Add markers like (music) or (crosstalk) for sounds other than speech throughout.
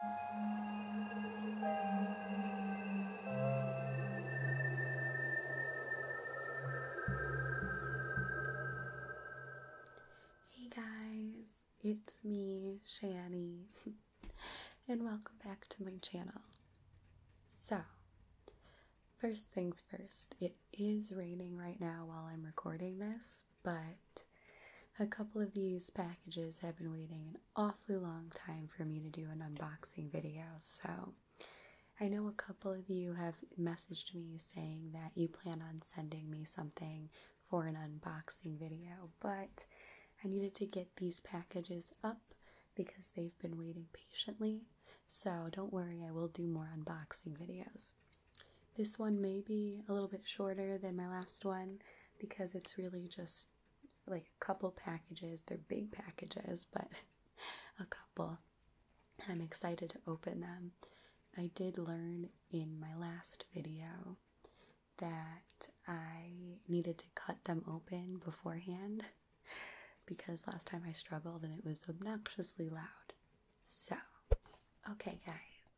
Hey guys, it's me, Shani, (laughs) and welcome back to my channel. So, first things first, it is raining right now while I'm recording this, but a couple of these packages have been waiting awfully long time for me to do an unboxing video, so I know a couple of you have messaged me saying that you plan on sending me something for an unboxing video, but I needed to get these packages up because they've been waiting patiently. So don't worry, I will do more unboxing videos. This one may be a little bit shorter than my last one because it's really just like a couple packages. They're big packages, but (laughs) a couple. I'm excited to open them. I did learn in my last video that I needed to cut them open beforehand (laughs) because last time I struggled and it was obnoxiously loud. So, okay, guys,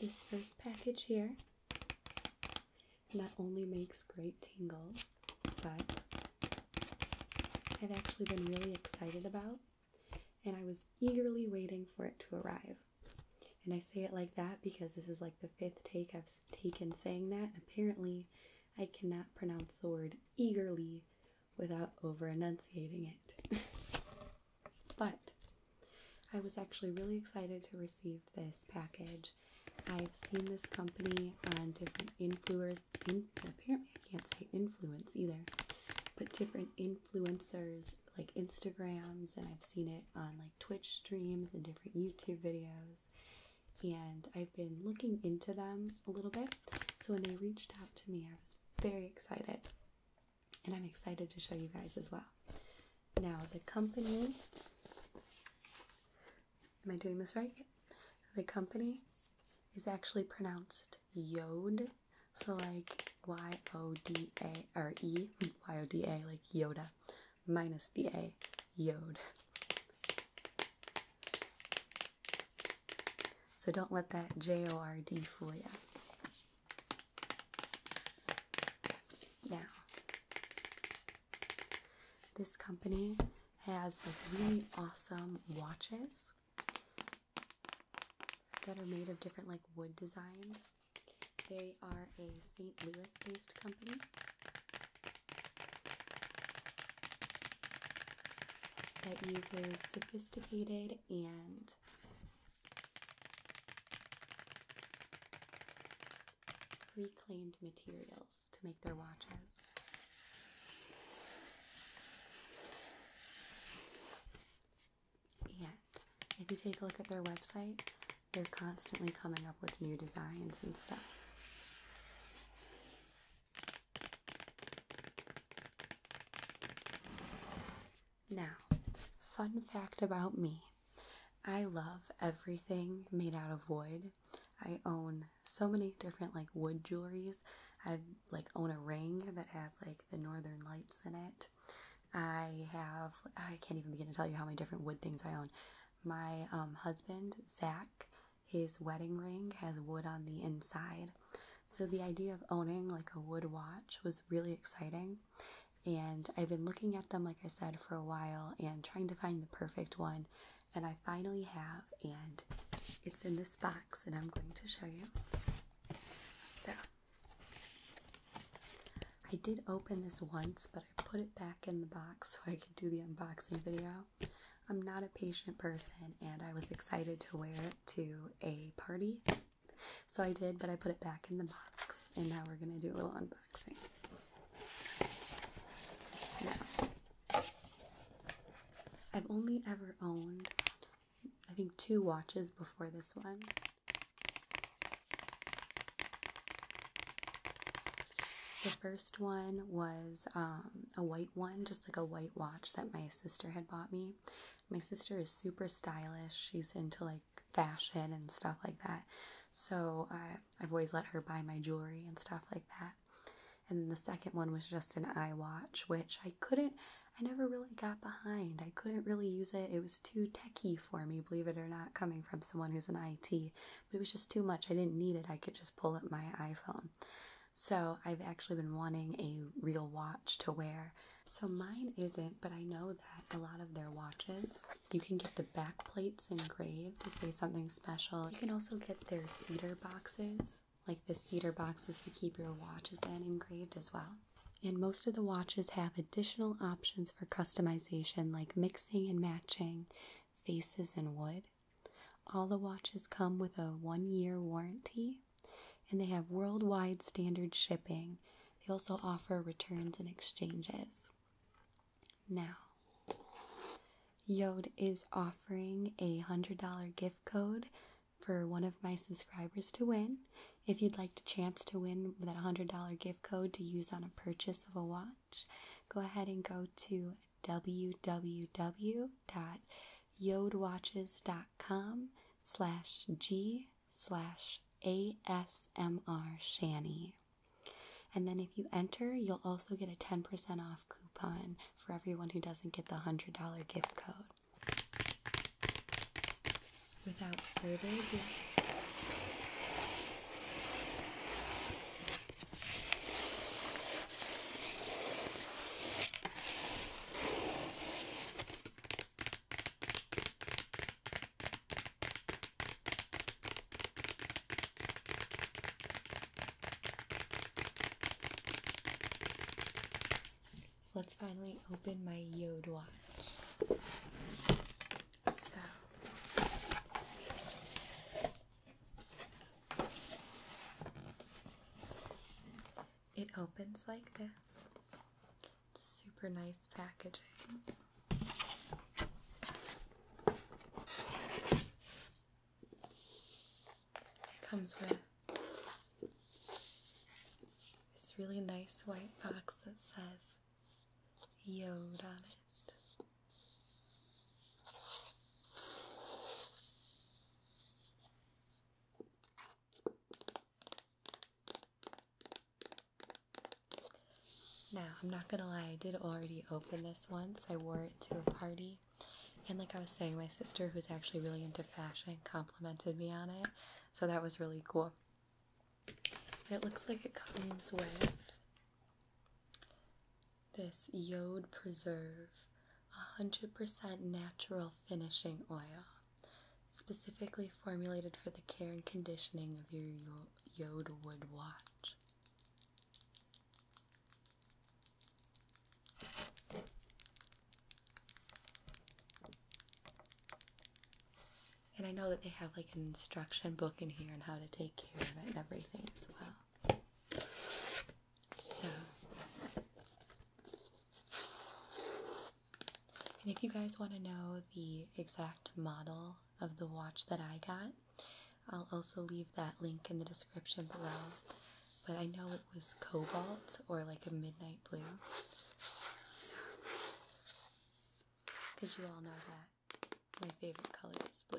this first package here that only makes great tingles, but I've actually been really excited about, and I was eagerly waiting for it to arrive. And I say it like that because this is like the fifth take I've taken saying that. Apparently, I cannot pronounce the word eagerly without over enunciating it. (laughs) But I was actually really excited to receive this package. I've seen this company on different influencers. apparently, I can't say influence either, but different influencers like Instagrams, and I've seen it on like Twitch streams and different YouTube videos. And I've been looking into them a little bit. So when they reached out to me, I was very excited and I'm excited to show you guys as well. Now, the company, am I doing this right? The company is actually pronounced Yod, so like Y O D A like Yoda, minus the A, Yode. So don't let that J O R D fool you. Now, this company has really awesome watches that are made of different like wood designs. They are a St. Louis based company. That uses sophisticated and reclaimed materials to make their watches. Yet, if you take a look at their website, they're constantly coming up with new designs and stuff. Now, fun fact about me I love everything made out of wood. I own so many different like wood jewelries. I like own a ring that has like the northern lights in it. I have I can't even begin to tell you how many different wood things I own. My um, husband, Zach, his wedding ring has wood on the inside. So the idea of owning like a wood watch was really exciting. And I've been looking at them, like I said, for a while and trying to find the perfect one. And I finally have, and it's in this box, and I'm going to show you. So, I did open this once, but I put it back in the box so I could do the unboxing video. I'm not a patient person, and I was excited to wear it to a party so I did, but I put it back in the box, and now we're gonna do a little unboxing. Now, I've only ever owned, I think, two watches before this one. The first one was um, a white one, just like a white watch that my sister had bought me. My sister is super stylish. She's into like fashion and stuff like that. So uh, I've always let her buy my jewelry and stuff like that. And the second one was just an eye watch, which I couldn't, I never really got behind. I couldn't really use it. It was too techy for me, believe it or not, coming from someone who's an IT. But it was just too much. I didn't need it. I could just pull up my iPhone. So I've actually been wanting a real watch to wear. So mine isn't, but I know that a lot of their watches you can get the back plates engraved to say something special. You can also get their cedar boxes, like the cedar boxes to keep your watches in, engraved as well. And most of the watches have additional options for customization, like mixing and matching faces and wood. All the watches come with a one year warranty and they have worldwide standard shipping. They also offer returns and exchanges. Now, Yod is offering a $100 gift code for one of my subscribers to win. If you'd like to chance to win that $100 gift code to use on a purchase of a watch, go ahead and go to www.yodwatches.com slash g slash ASMR Shanny. And then if you enter, you'll also get a 10% off coupon for everyone who doesn't get the $100 gift code. Without further ado, Let's finally open my Yod watch. So it opens like this. Super nice packaging. It comes with this really nice white box that says Yode on it. Now, I'm not gonna lie, I did already open this once. I wore it to a party, and like I was saying, my sister, who's actually really into fashion, complimented me on it, so that was really cool. it looks like it comes with this Yode Preserve 100% natural finishing oil, specifically formulated for the care and conditioning of your Yoda would watch. And I know that they have like an instruction book in here on how to take care of it and everything as well. So, and if you guys want to know the exact model of the watch that I got. I'll also leave that link in the description below. But I know it was cobalt or like a midnight blue. Because you all know that my favorite color is blue.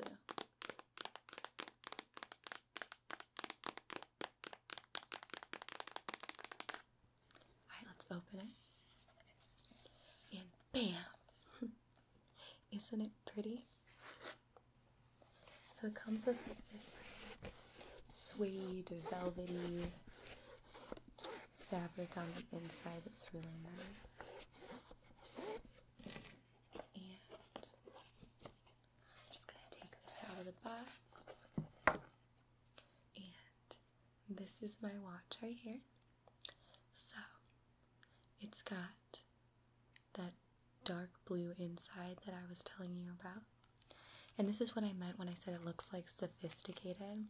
Alright, let's open it. Bam! Isn't it pretty? So it comes with this like suede velvety fabric on the inside that's really nice. And I'm just gonna take this out of the box and this is my watch right here. So it's got that dark blue inside that I was telling you about. And this is what I meant when I said it looks like sophisticated,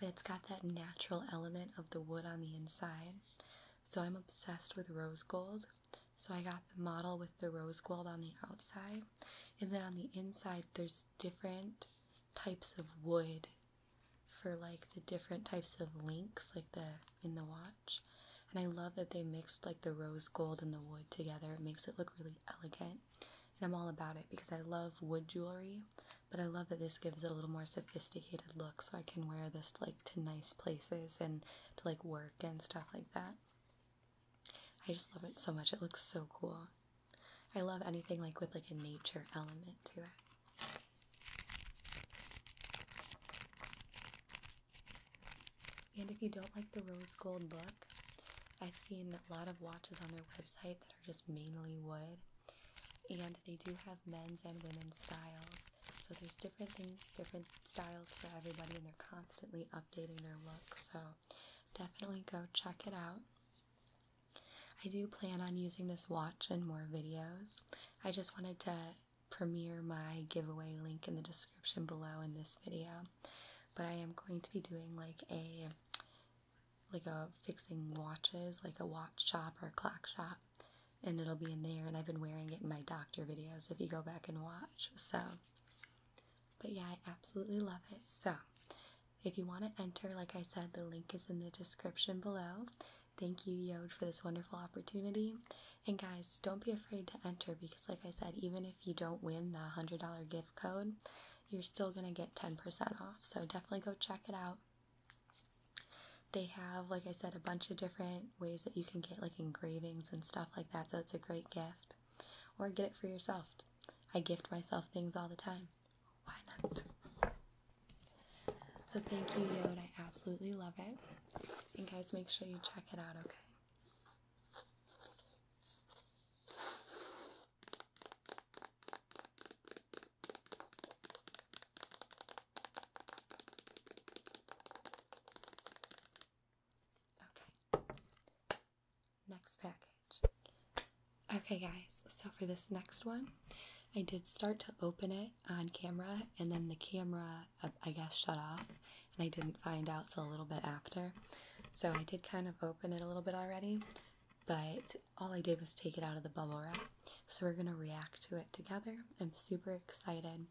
but it's got that natural element of the wood on the inside. So I'm obsessed with rose gold. So I got the model with the rose gold on the outside, and then on the inside, there's different types of wood for like the different types of links like the in the watch and I love that they mixed like the rose gold and the wood together it makes it look really elegant and I'm all about it because I love wood jewelry but I love that this gives it a little more sophisticated look so I can wear this like to nice places and to like work and stuff like that I just love it so much it looks so cool I love anything like with like a nature element to it and if you don't like the rose gold look, I've seen a lot of watches on their website that are just mainly wood. And they do have men's and women's styles. So there's different things, different styles for everybody, and they're constantly updating their look. So definitely go check it out. I do plan on using this watch in more videos. I just wanted to premiere my giveaway link in the description below in this video. But I am going to be doing like a like a fixing watches, like a watch shop or clock shop. And it'll be in there and I've been wearing it in my doctor videos if you go back and watch. So but yeah, I absolutely love it. So if you want to enter, like I said, the link is in the description below. Thank you, Yod, for this wonderful opportunity. And guys, don't be afraid to enter because, like I said, even if you don't win the $100 gift code, you're still going to get 10% off. So definitely go check it out. They have, like I said, a bunch of different ways that you can get like engravings and stuff like that. So it's a great gift. Or get it for yourself. I gift myself things all the time. Why not? So thank you, Yod. I absolutely love it. And guys, make sure you check it out, okay? Okay. Next package. Okay, guys, so for this next one, I did start to open it on camera, and then the camera, uh, I guess, shut off, and I didn't find out till a little bit after. So I did kind of open it a little bit already, but all I did was take it out of the bubble wrap. So we're gonna react to it together. I'm super excited.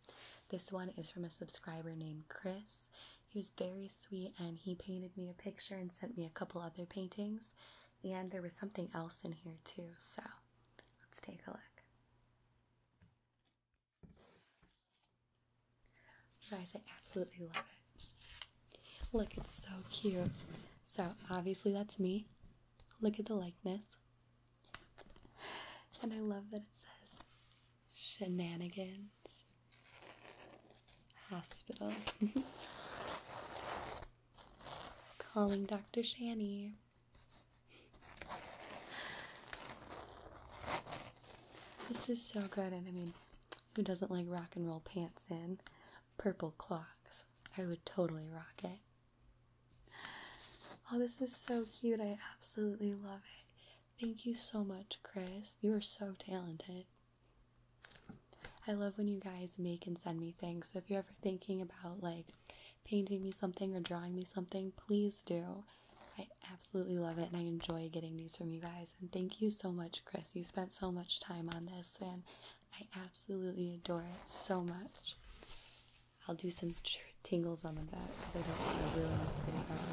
This one is from a subscriber named Chris. He was very sweet and he painted me a picture and sent me a couple other paintings. And there was something else in here too, so Let's take a look. guys, I absolutely love it. Look, it's so cute. So, obviously, that's me. Look at the likeness. And I love that it says shenanigans hospital. (laughs) Calling Dr. Shanny. This is so good, and I mean, who doesn't like rock and roll pants and purple clocks? I would totally rock it. Oh, this is so cute. I absolutely love it. Thank you so much, Chris. You are so talented. I love when you guys make and send me things. So if you're ever thinking about like painting me something or drawing me something, please do. I absolutely love it and I enjoy getting these from you guys. And thank you so much, Chris. You spent so much time on this and I absolutely adore it so much. I'll do some tingles on the back because I don't want to ruin the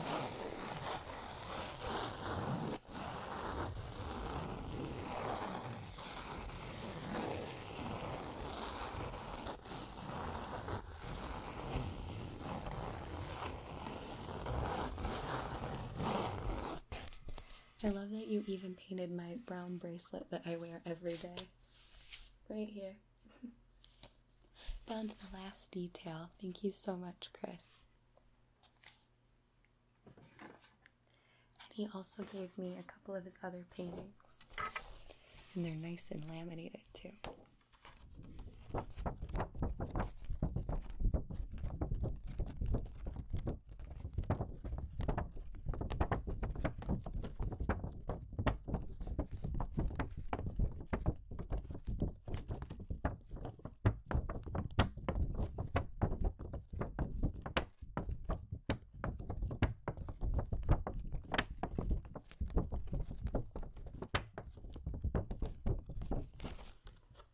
I love that you even painted my brown bracelet that I wear every day. Right here. (laughs) Found the last detail. Thank you so much, Chris. And he also gave me a couple of his other paintings. And they're nice and laminated too.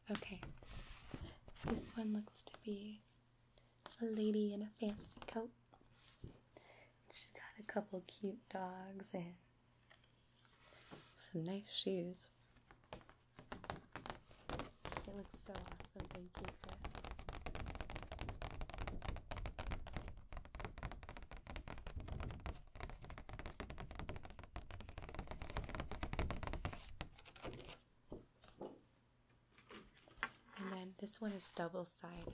Okay, this one looks to be a lady in a fancy coat. She's got a couple cute dogs and some nice shoes. It looks so awesome. And then this one is double sided.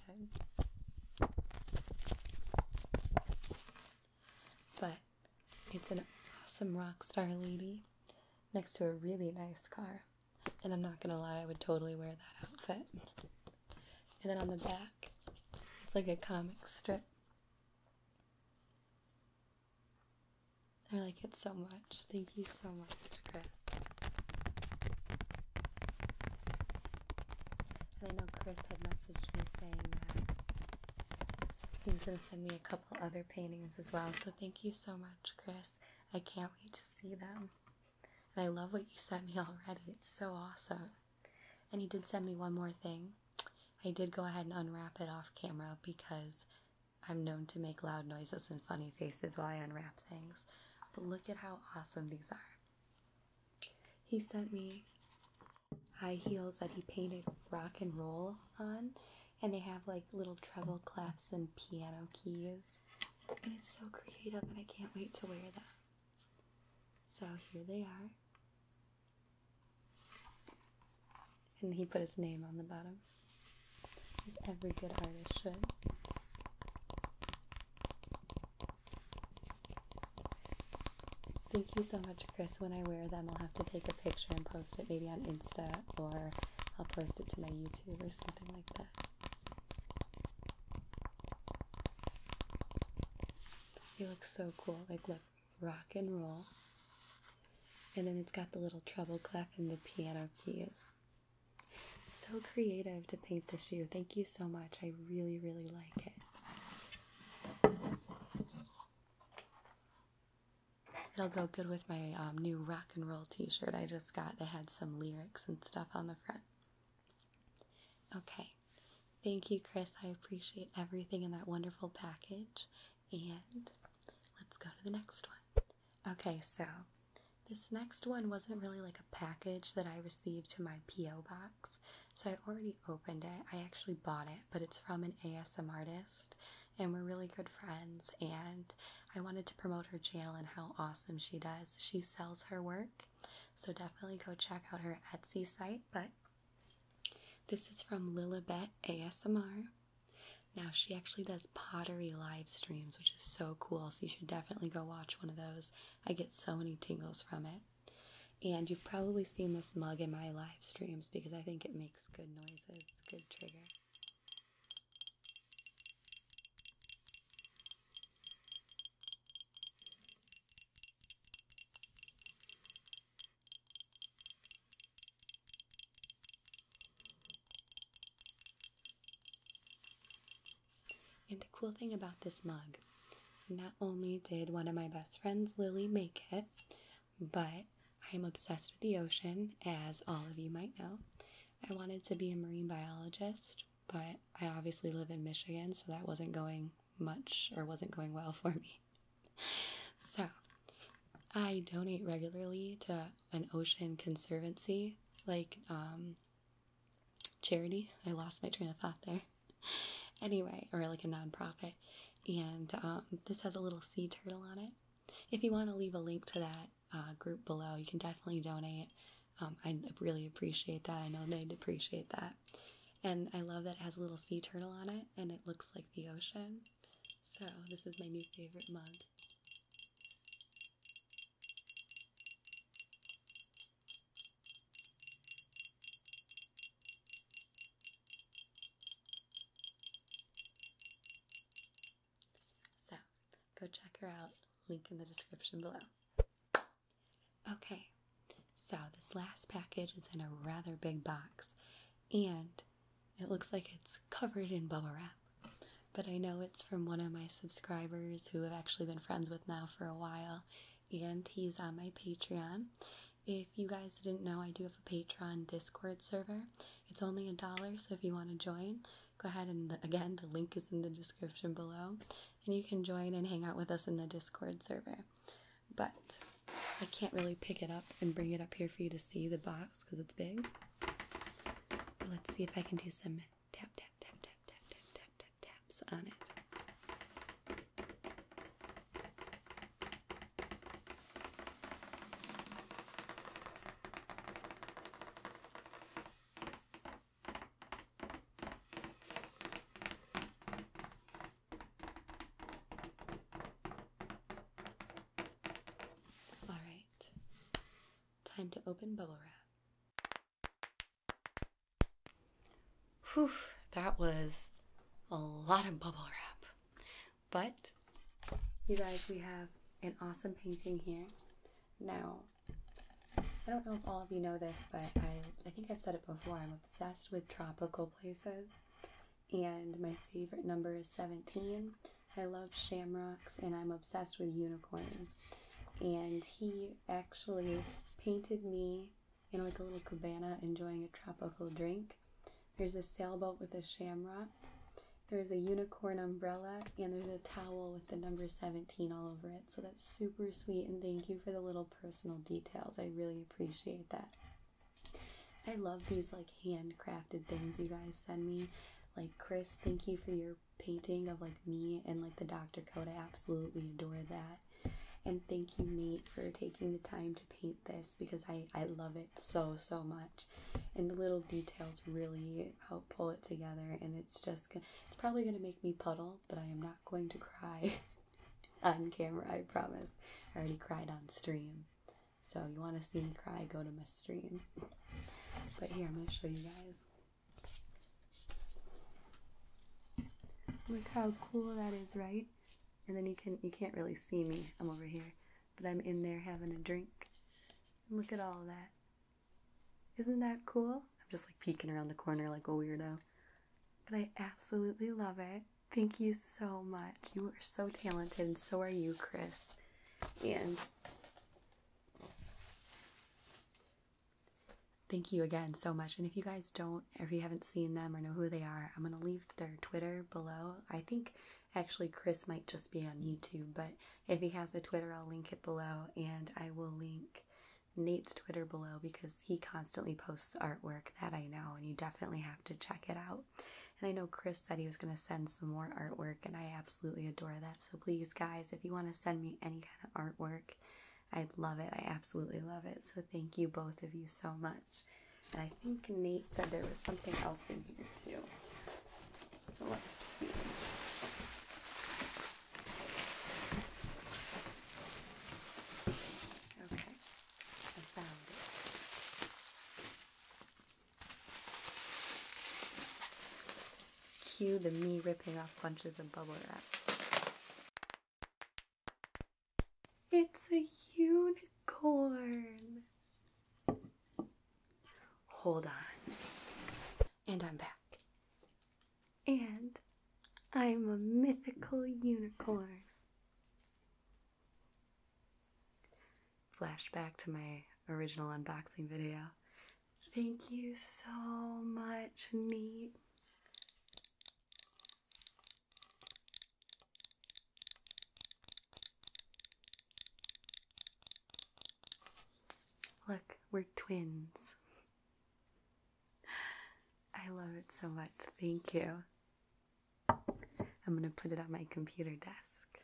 But it's an awesome rock star lady next to a really nice car. And I'm not gonna lie, I would totally wear that outfit. And then on the back, it's like a comic strip. I like it so much. Thank you so much, Chris. And I know Chris had messaged me saying that he was gonna send me a couple other paintings as well. So thank you so much, Chris. I can't wait to see them. And I love what you sent me (laughs) already. It's so awesome. And he did send me one more thing. I did go ahead and unwrap it off camera because I'm known to make loud noises and funny faces while I unwrap things. But look at how awesome these are. He sent me high heels that he painted rock and roll on, and they have like little treble clefs and piano keys and it's so creative and I can't wait to wear them. So here they are. And he put his name on the bottom, as every good artist should. Thank you so much, Chris. When I wear them, I'll have to take a picture and post it maybe on Insta or I'll post it to my YouTube or something like that. They look so cool. Like, look, rock and roll. And then it's got the little treble clef and the piano keys. So creative to paint the shoe. Thank you so much. I really, really like it. It'll go good with my um, new rock and roll t shirt I just got. They had some lyrics and stuff on the front. Okay. Thank you, Chris. I appreciate everything in that wonderful package. And let's go to the next one. Okay, so this next one wasn't really like a package that I received to my P.O. box. So I already opened it. I actually bought it, but it's from an ASM artist. And we're really good friends. And I wanted to promote her channel and how awesome she does. She sells her work so definitely go check out her Etsy site. But this is from Lilibet ASMR. Now she actually does pottery live streams, which is so cool. So you should definitely go watch one of those. I get so many tingles from it. And you've probably seen this mug in my live streams because I think it makes good noises. It's good trigger. And the cool thing about this mug, not only did one of my best friends, Lily, make it, but I am obsessed with the ocean, as all of you might know. I wanted to be a marine biologist but I obviously live in Michigan, so that wasn't going much or wasn't going well for me. (laughs) so I donate regularly to an ocean conservancy, like um, charity. I lost my train of thought there. (laughs) Anyway, or like a nonprofit. And um, this has a little sea turtle on it. If you want to leave a link to that uh, group below, you can definitely donate. Um, I really appreciate that. I know they'd appreciate that. And I love that it has a little sea turtle on it and it looks like the ocean. So, this is my new favorite mug. So, go check her out. Link in the description below. Okay, so this last package is in a rather big box and it looks like it's covered in bubble wrap. But I know it's from one of my subscribers who have actually been friends with now for a while, and he's on my Patreon. If you guys didn't know, I do have a Patreon Discord server. It's only a dollar, so if you want to join, go ahead and again, the link is in the description below and you can join and hang out with us in the Discord server. But I can't really pick it up and bring it up here for you to see the box because it's big. let's see if I can do some tap, tap, tap, tap, tap, tap, tap, taps on it. All right. Time to open bubble wrap. Whew, that was a lot of bubble wrap. But you guys, we have an awesome painting here. Now, I don't know if all of you know this, but I, I think I've said it before. I'm obsessed with tropical places, and my favorite number is 17. I love shamrocks, and I'm obsessed with unicorns. And he actually painted me in like a little cabana enjoying a tropical drink. There's a sailboat with a shamrock. There's a unicorn umbrella, and there's a towel with the number 17 all over it. So that's super sweet, and thank you for the little personal details. I really appreciate that. I love these like handcrafted things you guys send me. Like Chris, thank you for your painting of like me and like the Dr. Code. I absolutely adore that. And thank you, Nate, for taking the time to paint this because I, I love it so, so much. And the little details really help pull it together. And it's just, it's probably going to make me puddle, but I am not going to cry (laughs) on camera, I promise. I already cried on stream. So you want to see me cry, go to my stream. (laughs) But here, I'm going to show you guys. Look how cool that is, right? And then you can you can't really see me. I'm over here, but I'm in there having a drink. Look at all that. Isn't that cool? I'm just like peeking around the corner like a weirdo. But I absolutely love it. Thank you so much. You are so talented, and so are you, Chris. And thank you again so much. And if you guys don't, or if you haven't seen them or know who they are, I'm going to leave their Twitter below. I think actually Chris might just be on YouTube, but if he has a Twitter, I'll link it below. And I will link Nate's Twitter below because he constantly posts artwork that I know, and you definitely have to check it out. And I know Chris said he was going to send some more artwork, and I absolutely adore that. So please, guys, if you want to send me any kind of artwork, i love it. I absolutely love it. So thank you both of you so much. And I think Nate said there was something else in here too. So let's see. Okay, I found it. Cue the me ripping off bunches of bubble wrap. It's a unicorn. Hold on. And I'm back. And I'm a mythical unicorn. Flashback to my original unboxing video. Thank you so much, Neat. Look, we're twins. (laughs) I love it so much. Thank you. I'm going to put it on my computer desk.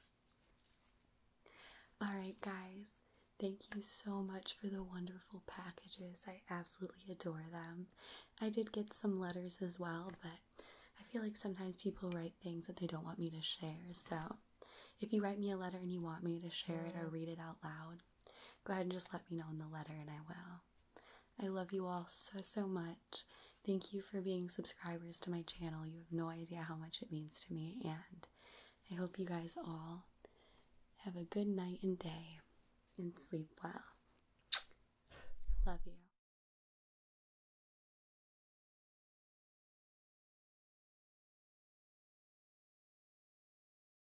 All right, guys. Thank you so much for the wonderful packages. I absolutely adore them. I did get some letters as well, but I feel like sometimes people write things that they don't want me to share. So if you write me a letter and you want me to share it or read it out loud, go ahead and just let me know in the letter and I will. I love you all so, so much. Thank you for being subscribers to my channel. You have no idea how much it means to me, and I hope you guys all have a good night and day and sleep well. Love you.